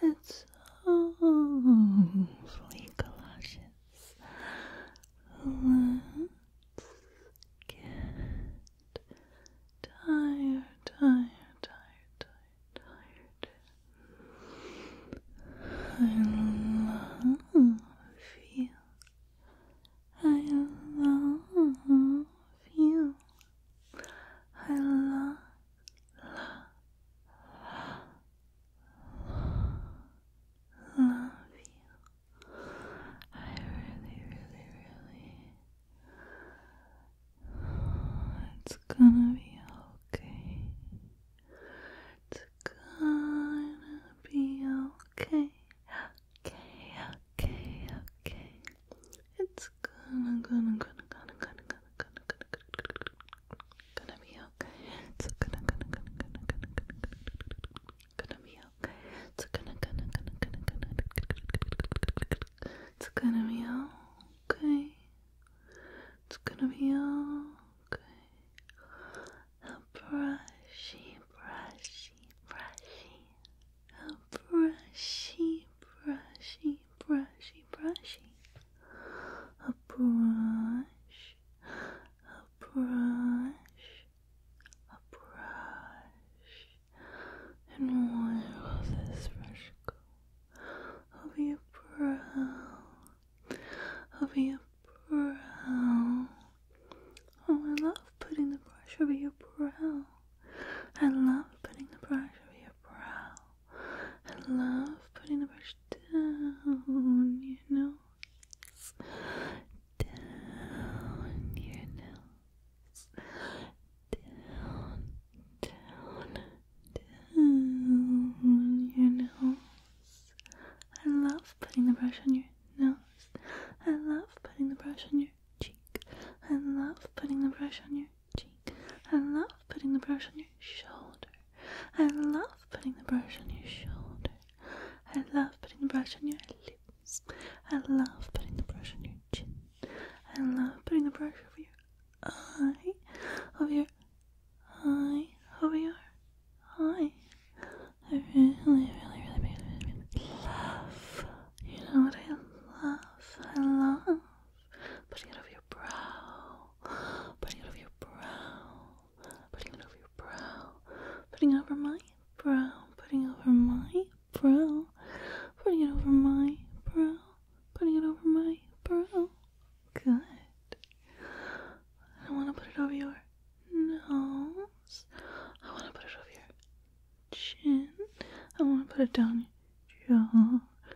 it's awfully cautious. let get tired, tired, tired, tired, tired. I love you. I love you. I love, love you. I really, really, really. It's gonna be okay. It's gonna be okay. Okay, okay, okay. It's gonna, gonna, gonna, gonna, gonna, gonna, gonna, gonna, gonna, gonna be okay. It's gonna gonna gonna gonna gonna gonna be okay. It's gonna gonna gonna gonna gonna It's gonna be okay. It's gonna be okay. A brushy, brushy, brushy. A brushy, brushy, brushy, be brushing a brush, a brush, a brush, and where this brush go? Over your brow, over your brow. Oh, I love putting the brush over your brow. I love putting the brush over your brow. I love putting the brush down you know. down your nose, down, down, down your nose. I love putting the brush on your nose. I love putting the brush on your cheek. I love putting the brush on your cheek. I love putting the brush on your shoulder. I love putting the brush on your shoulder. I love putting the brush on your lips. I love putting the brush on your chin. I love putting the brush over your eye, over your eye, over your eye. I really, really, really, really, really love. You know what I love? I love putting it over your brow, putting it over your brow, putting it over your brow, putting it over my brow, putting it over my brow, putting it over my brow, putting it over my brow. Good. I want to put it over your nose. I want to put it over your chin. I want to put it down your jaw.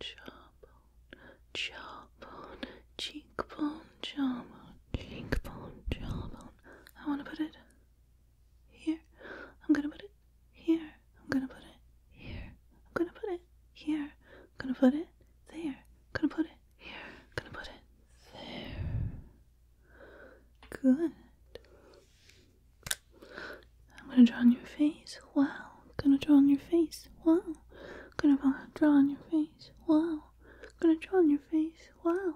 jawbone, jawbone, cheekbone, jawbone, cheekbone, jawbone. I want to put it here. I'm gonna put it here. I'm gonna put it here. I'm gonna put it here. I'm gonna put it there. I'm gonna put it here. I'm gonna put it there. Good. I'm gonna draw on your face. Wow. I'm gonna draw on your face. Wow. Gonna draw on your face. Wow. Gonna draw on your face. Wow.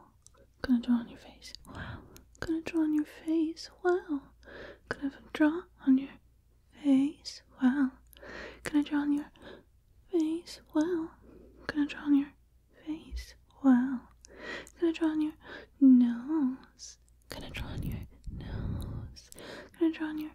Gonna draw on your face. Wow. Gonna draw on your face. Wow. Gonna draw on your face. Wow. Gonna draw on your face. Wow. Gonna draw on your Gonna draw on your nose. Gonna draw on your nose. Gonna draw on your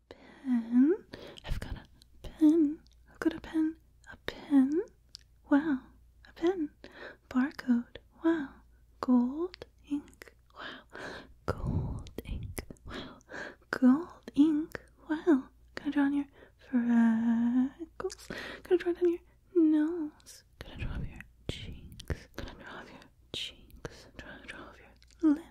pen. I've got a pen. I've got a pen. A pen. Wow. A pen. Barcode. Wow. Gold ink. Wow. Gold ink. Wow. Gold ink. Wow. Gonna draw on your freckles. Gonna draw down your nose. Gonna draw up your cheeks. Gonna draw up your cheeks. Draw, draw up your lips.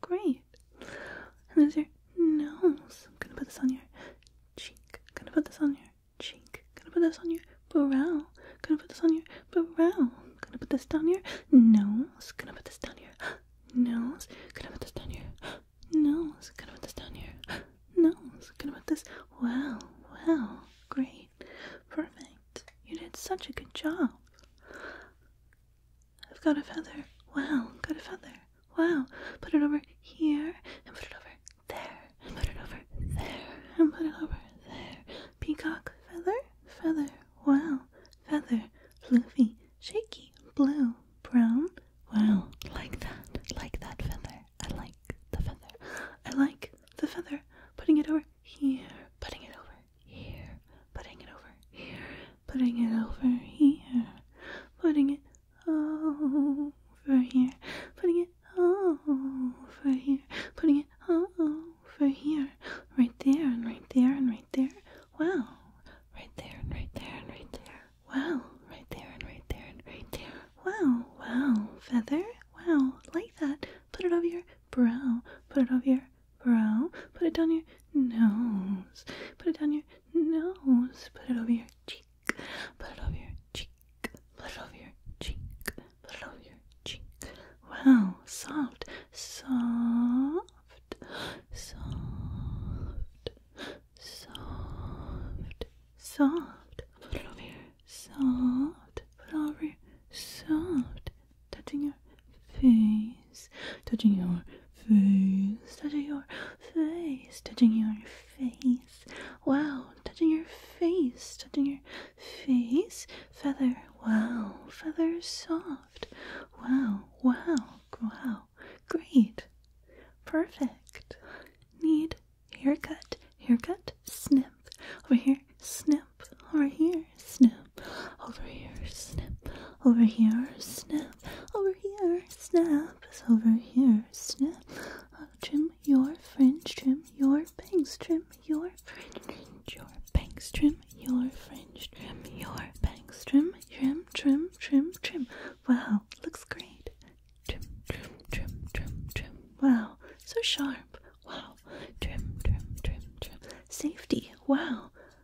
Great. And there's your nose. I'm gonna put this on your cheek. I'm gonna put this on your cheek. I'm gonna put this on your brow. I'm gonna put this on your brow. I'm gonna put this down your nose. I'm gonna put this down your nose. I'm gonna put this down your nose. I'm gonna put this down your nose. I'm gonna put this. Wow, wow, great, perfect. You did such a good job. I've got a feather. Wow, got a feather. Wow. Put it over here and put it over there and put it over there and put it over there. Peacock feather, feather. Wow, feather. fluffy, shaky, blue, brown. Wow, like that. Like that feather. I like the feather. I like the feather. Putting it over here. Putting it over here, putting it over here, putting it over here, putting it over here, putting it over here, putting it over here, right there and right there and right there. Wow, right there and right there and right there. Wow, right there and right there and right there. Wow, wow, feather. Wow, like that. Put it over here brow. Put it over your brow. Put it down your nose. Put it down your nose. Put it over your cheek. Put it over your cheek. Put it over your cheek. Put it over your cheek. Wow, soft, soft, soft, soft, soft. Put it over here, soft. Put it over here, soft, touching your face, touching your face, touching your face, touching your face. Wow, touching your face, touching your face. Feather, wow, feather soft. Wow, wow, wow. Great. Perfect. Need haircut, haircut, Sniff Over here, sniff snip over here, snip over here, snip over here, snip over here, snap is over here, snip. I'll uh, trim your fringe, trim your bangs, trim your fringe, your bangs, trim your fringe, trim your bangs, trim, trim, trim, trim, trim. Wow, looks great. Trim, trim, trim, trim, trim. Wow, so sharp. Wow, trim, trim, trim, trim. Safety. Wow,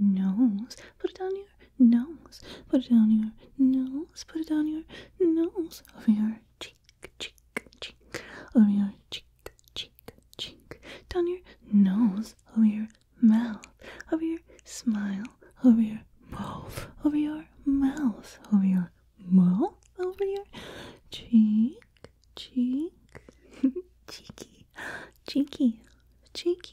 nose. Put it on your nose. Put it on your nose. Put it on your nose. Over your cheek, cheek, cheek. Over your cheek, cheek, cheek. Down your nose. Over your mouth. Over your smile. Over your mouth. Over your mouth. Over your mouth. Over your cheek, cheek. cheeky, cheeky, cheeky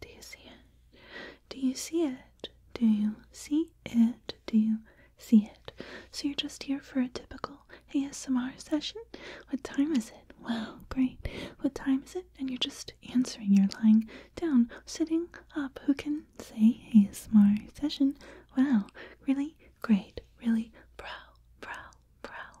do you see it? Do you see it? Do you see it? Do you see it? So you're just here for a typical ASMR session? What time is it? Wow, great. What time is it? And you're just answering. You're lying down, sitting up. Who can say ASMR session? Wow, really great. Really, brow, brow, brow,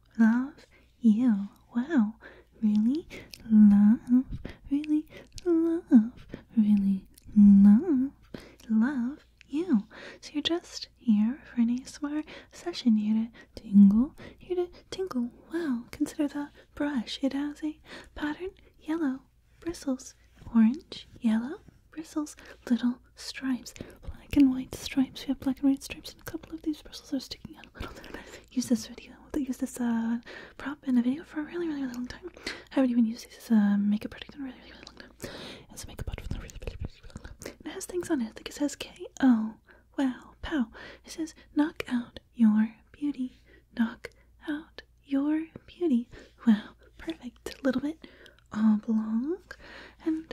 love you. Wow, really love, really love, really love, love you. So you're just here for an ASMR session, here to tingle, here to tingle. Wow, consider the brush. It has a pattern, yellow bristles, orange, yellow bristles, little stripes, black and white stripes. We have black and white stripes, and a couple of these bristles are sticking out a little bit. Use this video. Use this uh, prop in a video for a really, really, really long time. I haven't even used this as uh, a makeup product in a really, really, long time. It's a makeup product for a really, really, long time. it has things on it. I think it says K O. Wow, pow. It says knock out your beauty. Knock out your beauty. Wow, perfect. A little bit oblong, and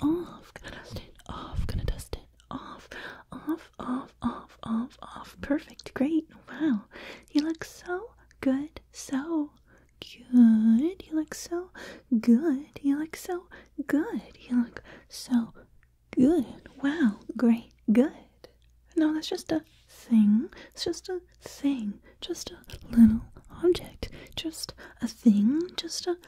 off, gonna dust it off, gonna dust it off, off, off, off, off, off. Perfect, great, wow. You look so good, so good. You look so good. You look so good. You look so good. Wow, great, good. No, that's just a thing. It's just a thing. Just a little object. Just a thing. Just a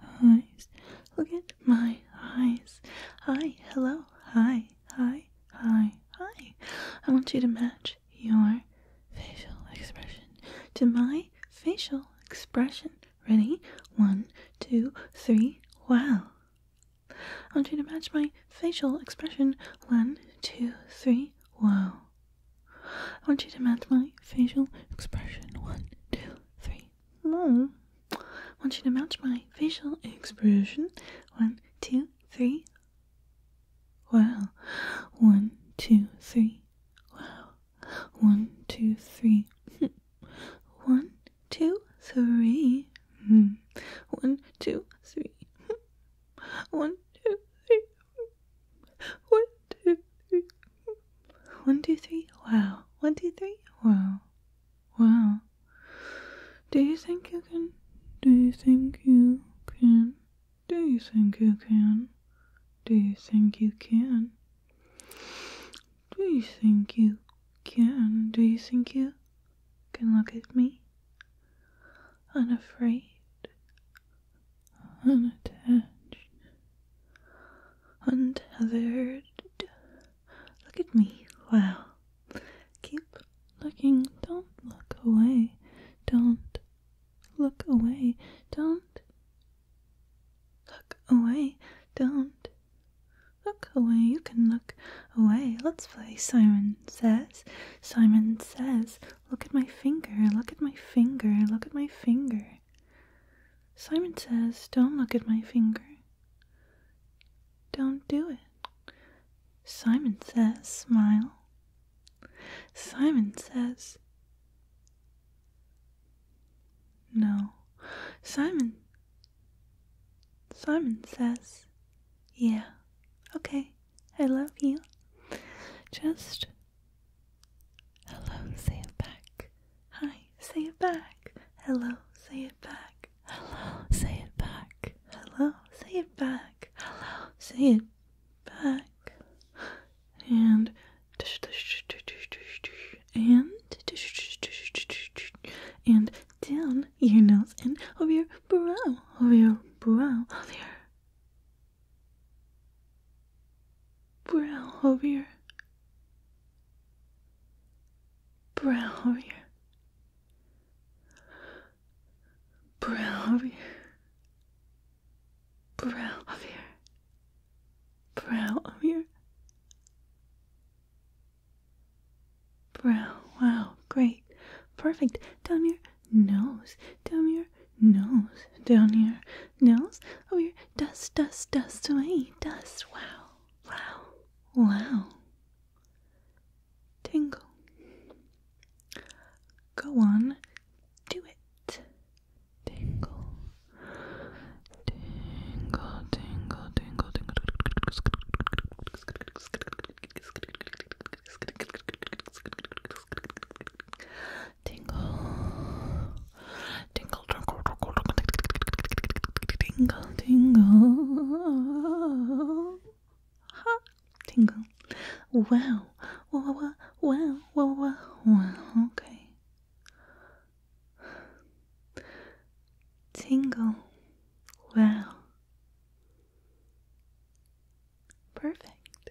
my eyes. Look at my eyes. Hi, hello, hi, hi, hi, hi. I want you to match your facial expression to my facial expression. Ready? One, two, three. Wow. I want you to match my facial expression. One, two, three. Wow. I want you to match my facial expression. One, two, three. No. I want you to match my facial expression. One, two, three. Wow. One, two, three. Wow. One, two, three. One, two, three. Hmm. One, two, three. One, two, three. One, two, three. One, two, three, wow. One, two, three, wow. Wow. Do you think you can? Do you think you can? Do you think you can? Do you think you can? Do you think you can? Do you think you can look at me? Unafraid, unattached, untethered Look at me. Wow. Keep looking. Don't look away. Don't look away. Don't look away. Don't look away. You can look away. Let's play Simon Says. Simon Says, look at my finger. Look at my finger. Look at my finger. Simon says, Don't look at my finger. Don't do it. Simon says, Smile. Simon says, No. Simon. Simon says, Yeah, okay, I love you. Just hello, say back. Hi say it back. Hello, say it back. Hello, say it back. Hello, say it back. Hello, say it back. And and and down your nose and over your brow, over your brow, over your brow over your brow over your brow over your brow over your brow over your brow. Wow, great, perfect. Down your nose, down your nose, down your nose over oh, here. Dust, dust, dust away. Dust. Wow. Wow. Wow. Tingle. Go on. Do it. Tingle. Tingle, tingle, tingle, tingle. Tingle. Tingle, tingle, tingle, tingle, tingle. Ha! Tingle. Wow. Wow, wow, wow, wow, wow, wow. Okay. Tingle. Wow. Perfect.